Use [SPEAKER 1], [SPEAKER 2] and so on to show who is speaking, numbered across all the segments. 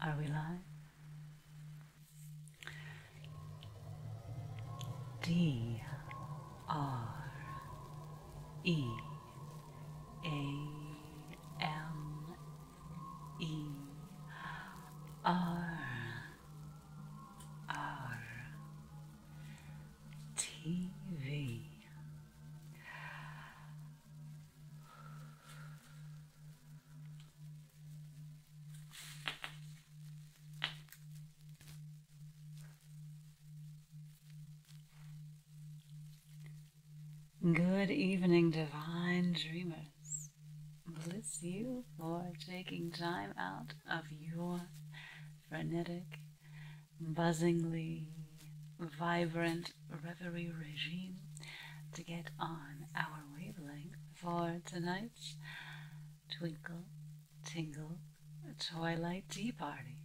[SPEAKER 1] Are we live? D R E A M E R R T V Good evening, divine dreamers. Bless you for taking time out of your frenetic, buzzingly vibrant reverie regime to get on our wavelength for tonight's Twinkle Tingle Twilight Tea Party.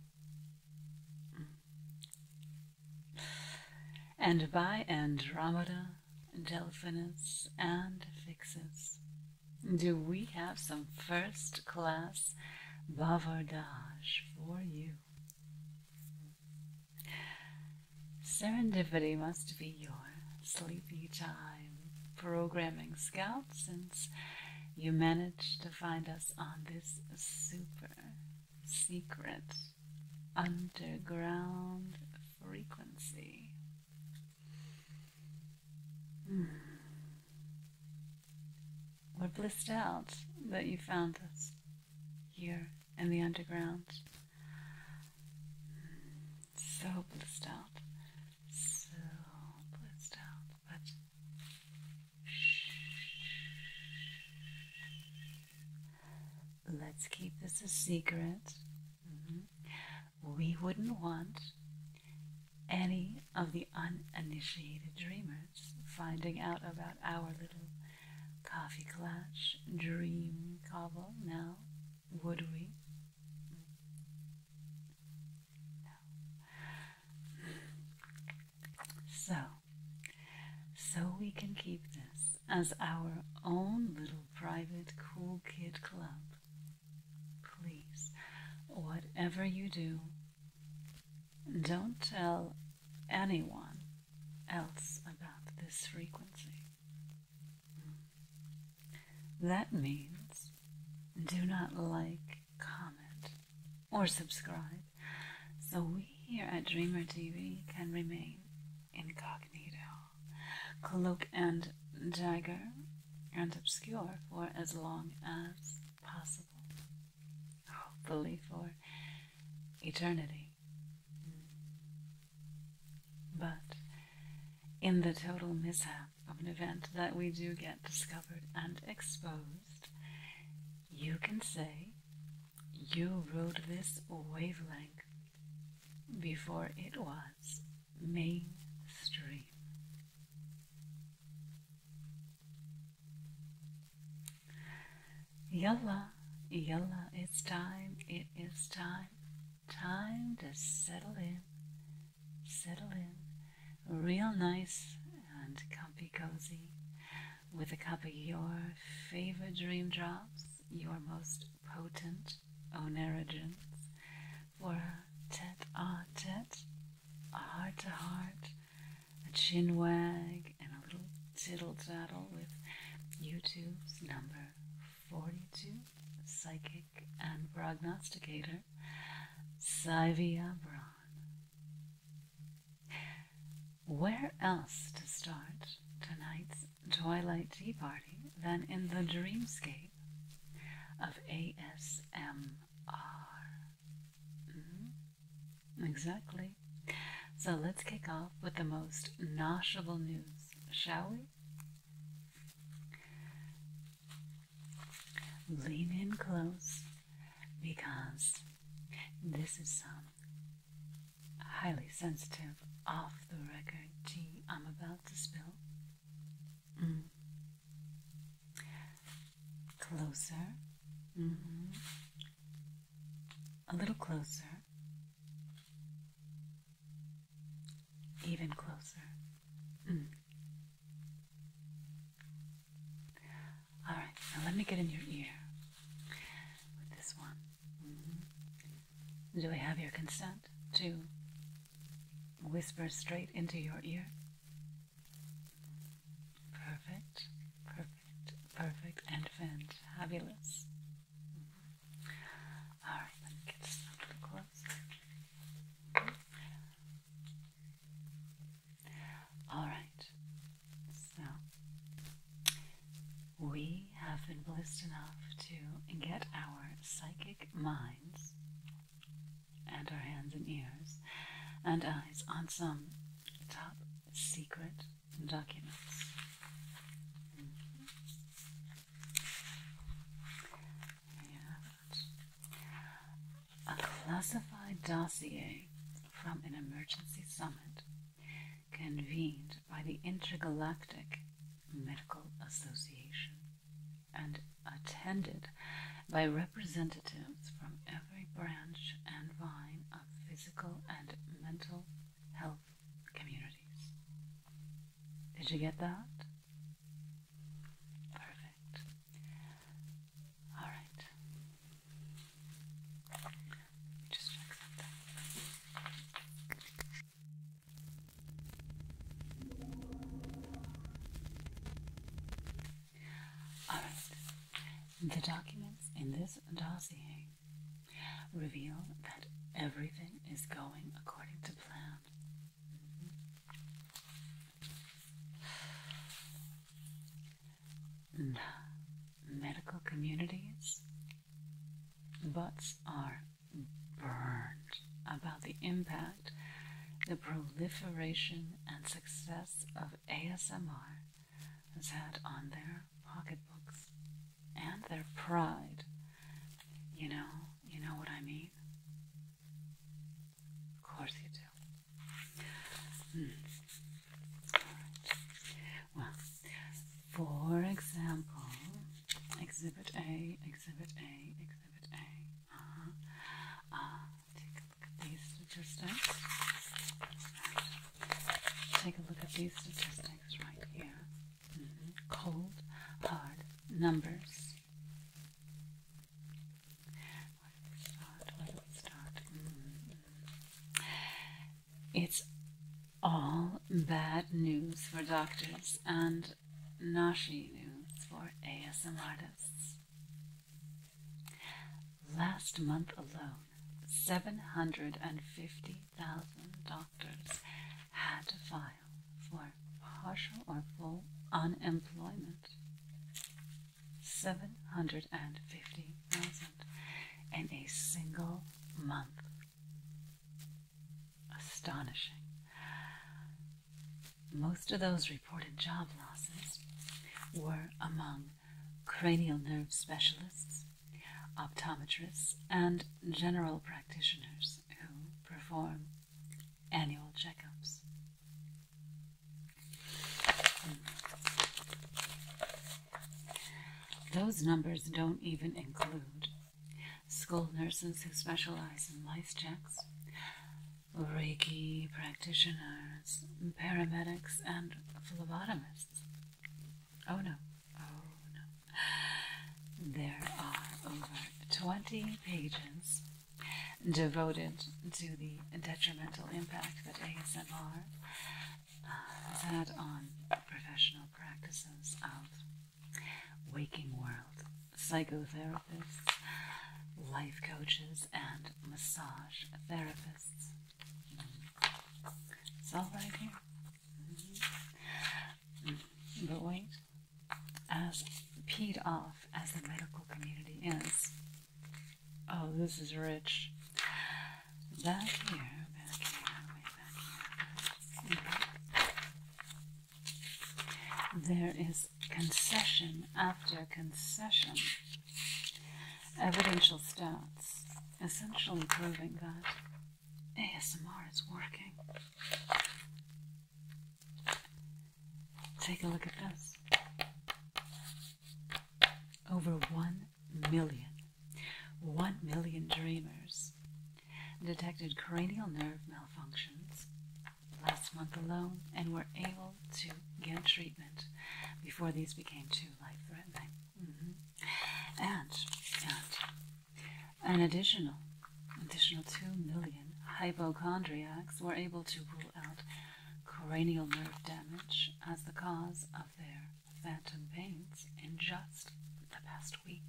[SPEAKER 1] Mm. And by Andromeda, Delphinus, and Fixus, do we have some first class bavardage for you? Serendipity must be your sleepy time programming scout since you managed to find us on this super secret underground frequency. Hmm. We're blissed out that you found us here in the underground. So blissed out. So blissed out. But Let's keep this a secret. Mm-hmm. We wouldn't want any of the uninitiated dreamers finding out about our little Coffee Clash, Dream Cobble, Now, Would we? So, so we can keep this as our own little private cool kid club. Please, whatever you do, don't tell anyone else about this frequency. That means do not like, comment, or subscribe, so we here at Dreamer TV can remain incognito, cloak and dagger, and obscure for as long as possible hopefully for eternity. But in the total mishap of an event that we do get discovered and exposed, you can say you rode this wavelength before it was mainstream. Yalla, yalla, it's time, it is time. Time to settle in, settle in, real nice and comfy cozy, with a cup of your favorite dream drops, your most potent onerogens, for a tete a tete, heart to heart, a chin wag, and a little tittle tattle with YouTube's number 42 psychic and prognosticator, Sivia Braun. Where else to start tonight's Twilight Tea Party than in the dreamscape of ASMR? Hmm? Exactly. So let's kick off with the most noshable news, shall we? Lean in close because this is some highly sensitive, off the record tea I'm about to spill. Mm. Closer. Mm-hmm. A little closer. Even closer. Mm. All right, now let me get in your ear with this one. Mm-hmm. Do I have your consent to whisper straight into your ear? Perfect, perfect. Perfect, perfect, and fabulous. Mm-hmm. Alright, let me get this a little Alright, so we have been blessed enough to get our psychic minds and our hands and ears and eyes on some top secret documents. a classified dossier from an emergency summit convened by the Intergalactic Medical Association and attended by representatives from every branch and vine physical and mental health communities. Did you get that? Perfect. All right. Just check something. All right. The documents in this dossier reveal that everything is going according to plan. The medical communities, butts are burned about the impact, the proliferation, and success of ASMR that on their pocketbooks and their pride, you know, you know what I mean? Of course you do. Mm. Well, for example, Exhibit A, Exhibit A, Exhibit A. Uh-huh. Uh take a look at these statistics. Take a look at these statistics right here. Cold, hard numbers. Where do start? Where do start? It's all bad news for doctors and nashi news for ASM artists. Last month alone, 750,000 doctors had to file for partial or full unemployment. 750,000 in a single month. Astonishing. Most of those reported job losses were among cranial nerve specialists, optometrists, and general practitioners who perform annual checkups. Hmm. Those numbers don't even include school nurses who specialize in life checks, Reiki practitioners, paramedics, and phlebotomists Oh, oh no, There are over 20 pages devoted to the detrimental impact that ASMR has had on professional practices of waking world psychotherapists, life coaches, and massage therapists. It's all right here. Mm-hmm. But wait, as peed off as the medical community is, oh, this is rich. Back here, back here, way There is concession after concession evidential stats, essentially proving that ASMR is working. Take a look at this. Over 1 million, 1 million dreamers detected cranial nerve malfunctions last month alone and were able to get treatment before these became too life threatening. Mm-hmm. And, and an additional, additional 2 million hypochondriacs were able to rule out cranial nerve damage as the cause of their phantom pains in just the past week.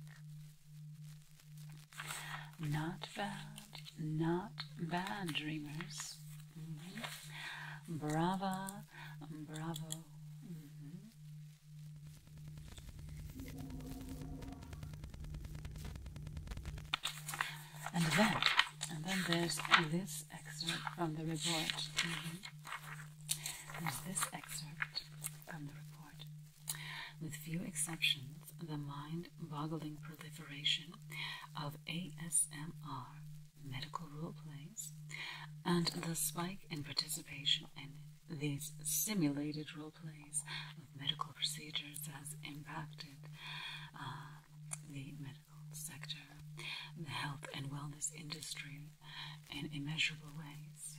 [SPEAKER 1] Not bad, not bad, dreamers. Mm-hmm. Brava, um, bravo. Mm-hmm. And then, and then there's this excerpt from the report. Mm-hmm. There's this excerpt from the report. With few exceptions, the mind-boggling proliferation of ASMR medical role plays, and the spike in participation in these simulated role plays of medical procedures has impacted uh, the medical sector, the health and wellness industry in immeasurable ways.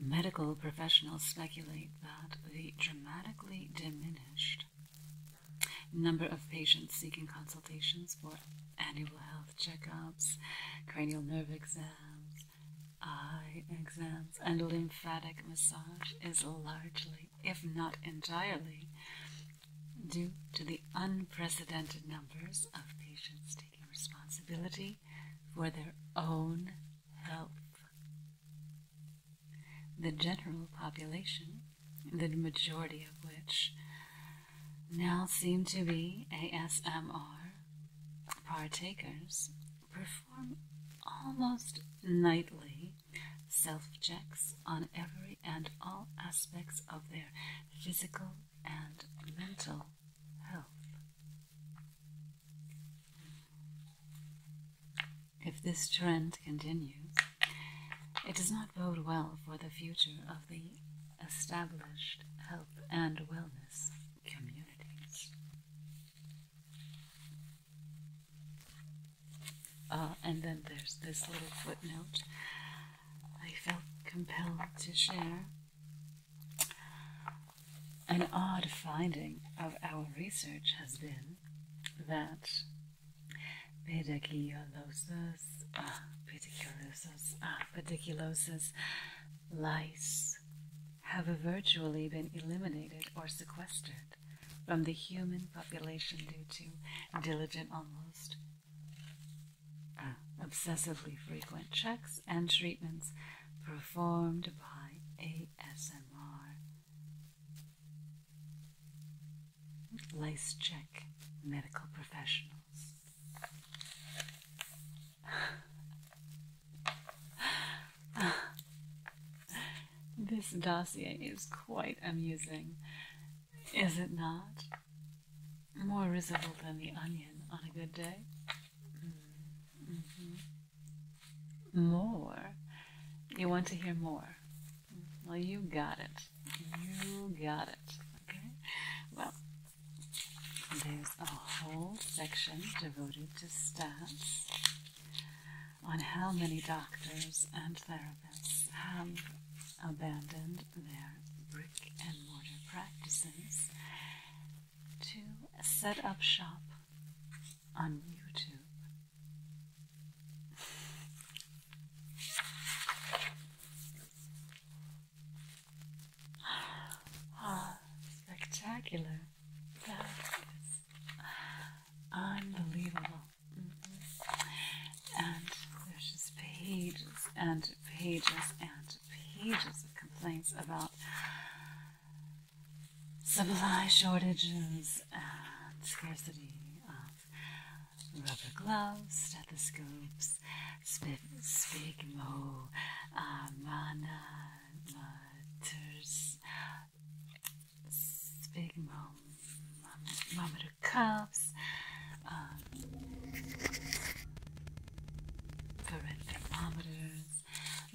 [SPEAKER 1] Medical professionals speculate that the dramatically diminished Number of patients seeking consultations for annual health checkups, cranial nerve exams, eye exams, and lymphatic massage is largely, if not entirely, due to the unprecedented numbers of patients taking responsibility for their own health. The general population the majority of which now seem to be ASMR partakers, perform almost nightly self checks on every and all aspects of their physical and mental health. If this trend trend continues, it does not bode well for the future of the established health and wellness communities. Uh, and then there's this little footnote I felt compelled to share. An odd finding of our research has been that pediculosis, ah, pediculosis, ah, pediculosis lice have virtually been eliminated or sequestered from the human population due to diligent, almost ah, obsessively frequent checks and treatments performed by ASMR. Lice check medical professionals. this dossier is quite amusing, is it not? More risible than the onion on a good day. Mm-hmm. Mm-hmm. More. You want to hear more, well, you got it. You got it. Okay? Well, there's a whole section devoted to stats on how many doctors and therapists have abandoned their brick and mortar practices to set up shop on YouTube. spectacular. That is unbelievable. Mm-hmm. And there's just pages and pages and pages of complaints about supply shortages and scarcity of rubber gloves, stethoscopes, spit, spigmo, uh, um, mana, maters, spigmo, monitor cuffs, um, thermometers,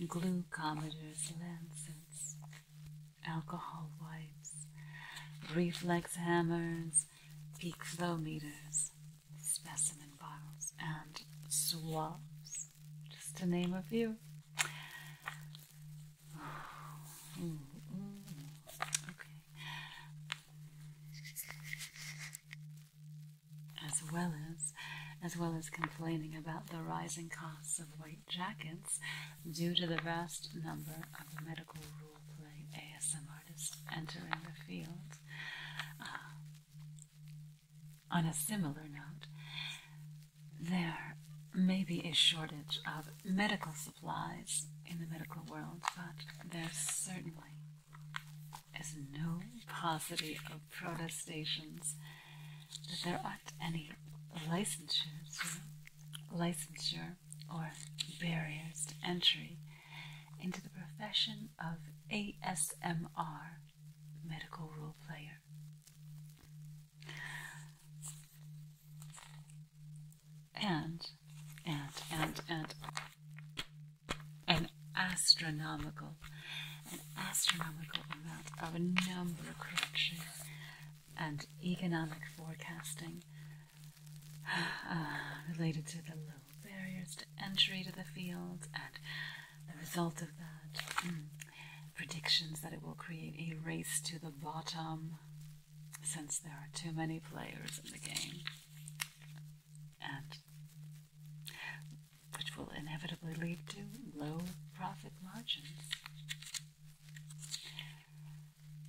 [SPEAKER 1] glucometers, lancets, alcohol wipes, reflex hammers, bottles, peak flow meters, specimen bottles, and swabs, just to name a few. Okay. As well as, as well as complaining about the rising costs of white jackets due to the vast number of medical rules role playing ASM artist entering the field. Uh, on a similar note, there may be a shortage of medical supplies in the medical world, but there certainly is no paucity of protestations that there aren't any licensures licensure or barriers to entry into the profession of ASMR medical role player. And, and, and, and an astronomical, an astronomical amount of a number crunching and economic forecasting Ah, related to the low barriers to entry to the field and the result of that. Hmm, predictions that it will create a race to the bottom since there are too many players in the game. And which will inevitably lead to low profit margins.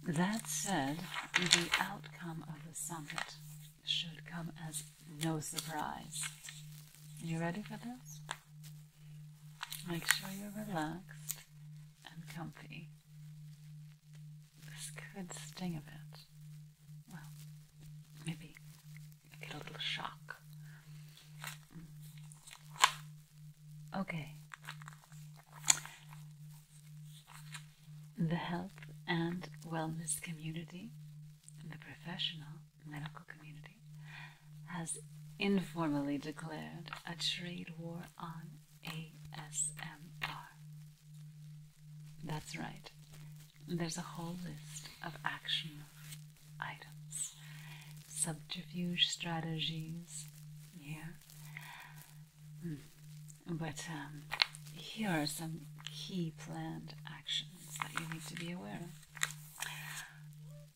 [SPEAKER 1] That said, the outcome of the summit should come as no surprise. You ready for this? Make sure you're relaxed and comfy. This could sting a bit. Well, maybe get a little shock. Okay, the health and wellness community, the professional medical community, has informally declared a trade war on ASMR. That's right. There's a whole list of action items, subterfuge strategies, yeah, Mm. But um, here are some key planned actions that you need to be aware of.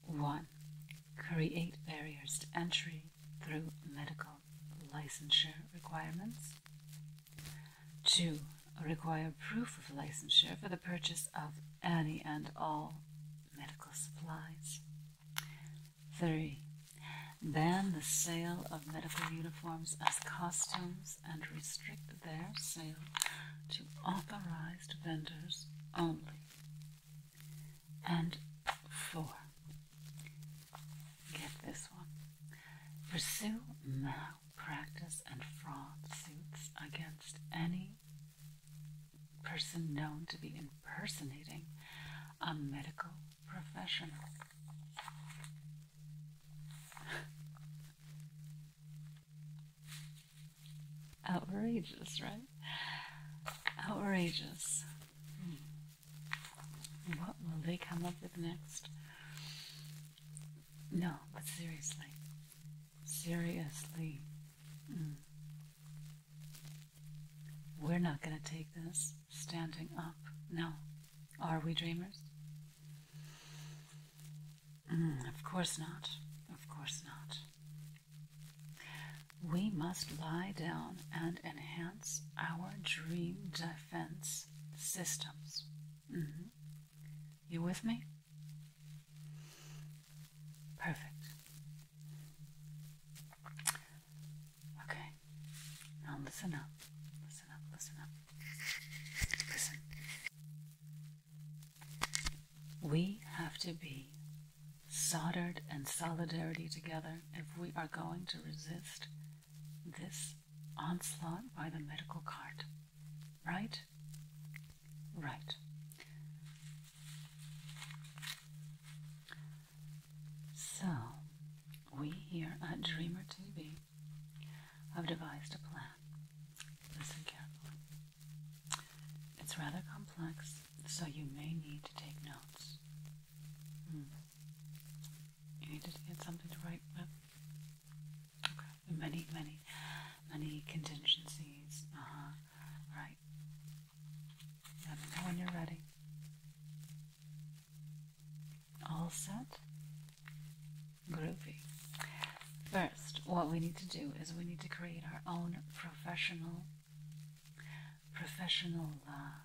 [SPEAKER 1] One, create barriers to entry through medical licensure requirements. Two, require proof of licensure for the purchase of any and all medical supplies. 3. Ban the sale of medical uniforms as costumes and restrict their sale to authorized vendors only. And 4. Get this one. Pursue malpractice and fraud suits against any person known to be impersonating a medical professional. Outrageous, right? Outrageous. Hmm. What will they come up with next? No, but seriously. Seriously. Hmm. We're not going to take this standing up. No. Are we dreamers? Mm, of course not. Of course not. We must lie down and enhance our dream defense systems. Mm-hmm. You with me? Perfect. Okay. Now listen up. Listen up. Listen up. Listen. We have to be soldered and solidarity together if we are going to resist this onslaught by the medical cart. Right? Right. So, we here at Dreamer TV have devised a plan. Listen carefully. It's rather complex, so you may need to take notes. Hmm. You need to get something to write with. Okay. Many, many, many contingencies. Uh-huh. Right. Let me know when you're ready. All set? Groovy. First, what we need to do is we need to create our own professional, professional, uh,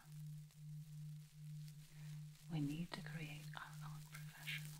[SPEAKER 1] we need to create our own professional.